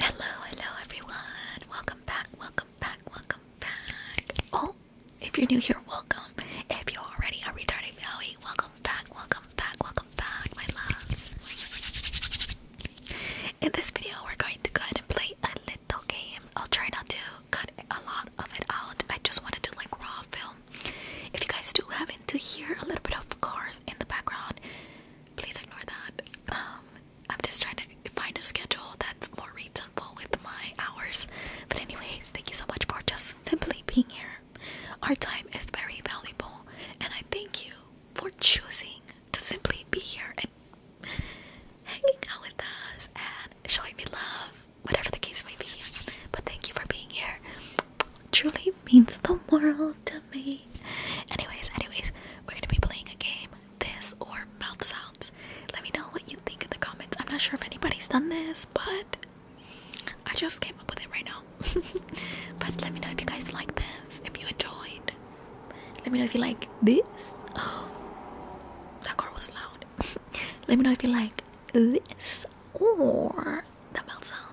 Hello, hello everyone. Welcome back, welcome back, welcome back. Oh, if you're new here, welcome. If you're already a retarded Bowie, welcome back, welcome back, welcome back, my loves. In this video, we're going to go ahead and play a little game. I'll try not to cut a lot of it out. I just wanted to like raw film. If you guys do happen to hear a little bit of cars in the background, please ignore that. Um, I'm just trying to find a schedule that's more reasonable with my hours. But anyways, thank you so much for just simply being here. Our time is very valuable, and I thank you for choosing to simply be here and hanging out with us showing me love, whatever the case may be. But thank you for being here. Truly means the world to me. Anyways, anyways, we're gonna be playing a game, this or mouth sounds. Let me know what you think in the comments. I'm not sure if anybody's done this, but I just came up with it right now. but let me know if you guys like this, if you enjoyed. Let me know if you like this. Oh, that car was loud. Let me know if you like this or the mouth sounds.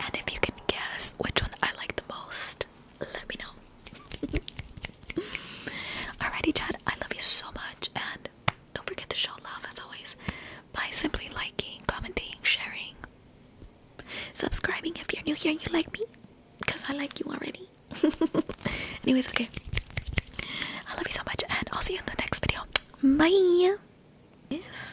And if you can guess which one I like the most, let me know. Alrighty, Chad, I love you so much. And don't forget to show love as always by simply liking, commenting, sharing, subscribing if you're new here you like me because I like you already. Anyways, okay. I love you so much, and I'll see you in the next video. Bye. Yes.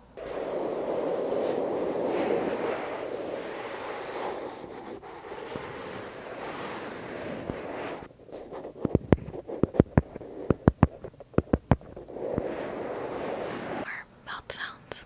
Or mouth sounds.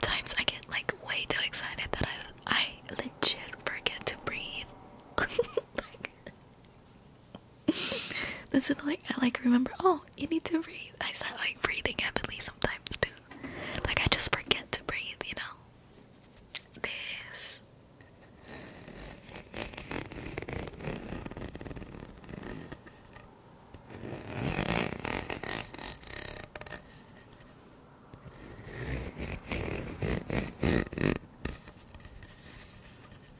Times I get like way too excited that I I legit forget to breathe. this is like I like remember. Oh, you need to breathe. I start like breathing heavily sometimes too. Like I just forget to breathe, you know. This.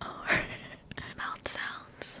or mouth sounds.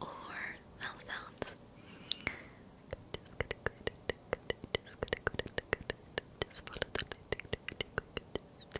or mouth sounds. Just follow the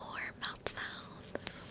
More mouth sounds.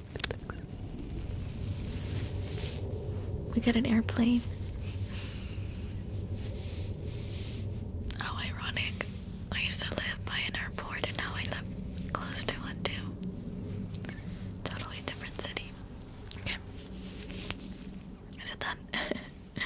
We got an airplane. How ironic. I used to live by an airport and now I live close to one too. Totally different city. Okay. Is it done? okay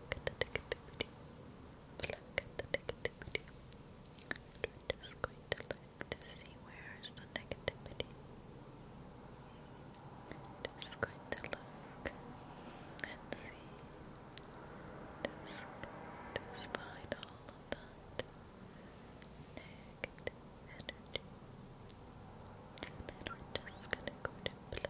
pluck at just going to look to see where is the negativity. Just going to look and see. Just, just find all of that negative And then we're just gonna go to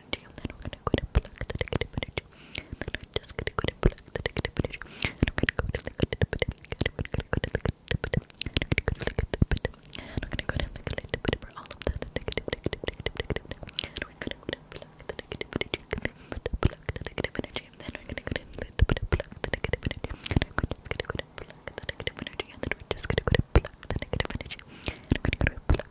gonna do, and I'm gonna go to pluck the negative energy. And then I'm just gonna go to pluck the negative energy. And I'm gonna go to the good bit. I'm gonna go to the good bit. And I'm gonna go to the good bit. And I'm gonna go to the good bit for all of that negative, negative, negative, negative. And we're gonna go to pluck the negative energy. Pluck the negative energy. And then we're gonna go to pluck the negative energy. And I'm just gonna go to pluck the negative energy. And then we're just gonna go to pluck the negative energy. And I'm gonna go to pluck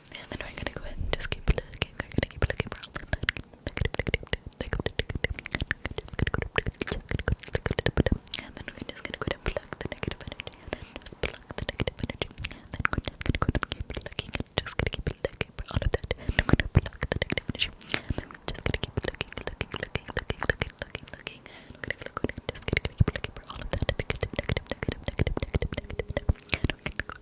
And then we're gonna go ahead and just keep looking. We're gonna keep looking for all of that. And then we're just gonna go ahead and pluck the negative energy. And then just pluck the negative energy. And then we're just gonna go ahead and keep looking. And just gonna keep looking for all of that. And we're gonna pluck the negative energy. And then we're just gonna keep looking, looking, looking, looking, looking, looking, looking. And we're gonna go ahead and just gonna keep looking for all of that. Negative, negative, negative, negative, negative, negative, negative. And we're gonna go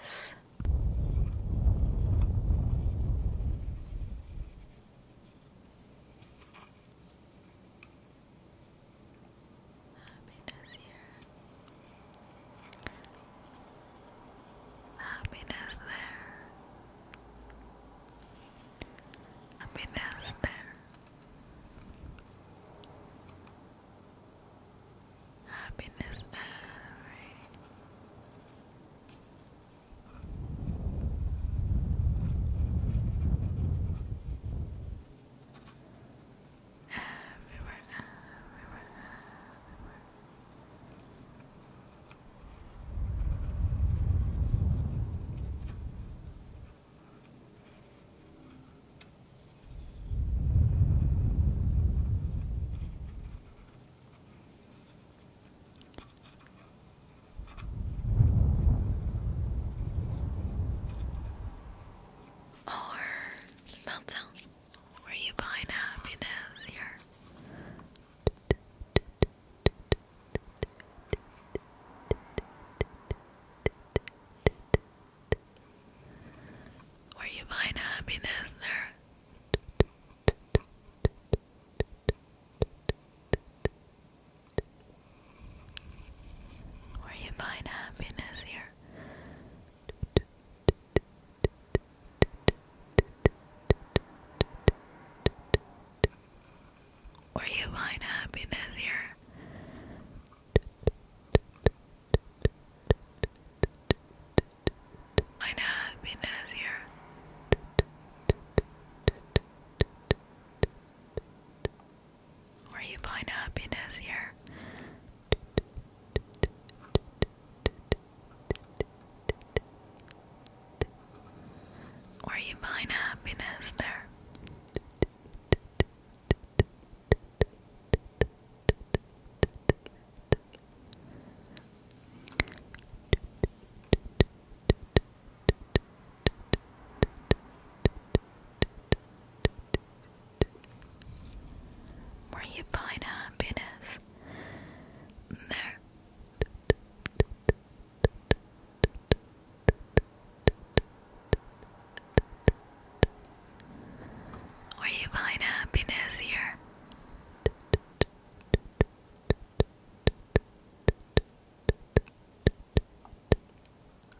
this. Happiness here. Happiness there. Happiness there. Happiness, everywhere, uh, everywhere. Or meltdown. Were you buying happiness here? where you find happiness there. Where you find happiness here. Where you find happiness here. Meine Biene here. Where you find happiness here. Where you find happiness there. Where you find happiness, there. Are you find happiness here.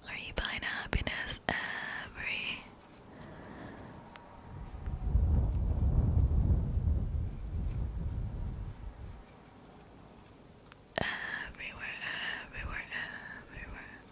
Are you find happiness every everywhere, everywhere, everywhere.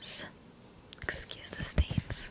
This, excuse the stains,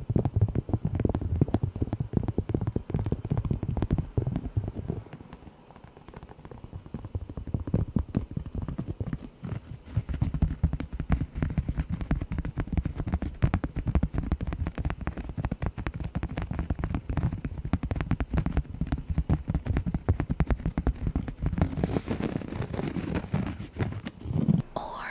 Or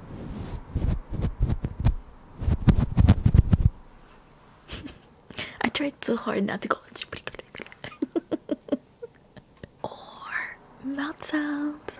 I tried so hard not to go or mouth sounds.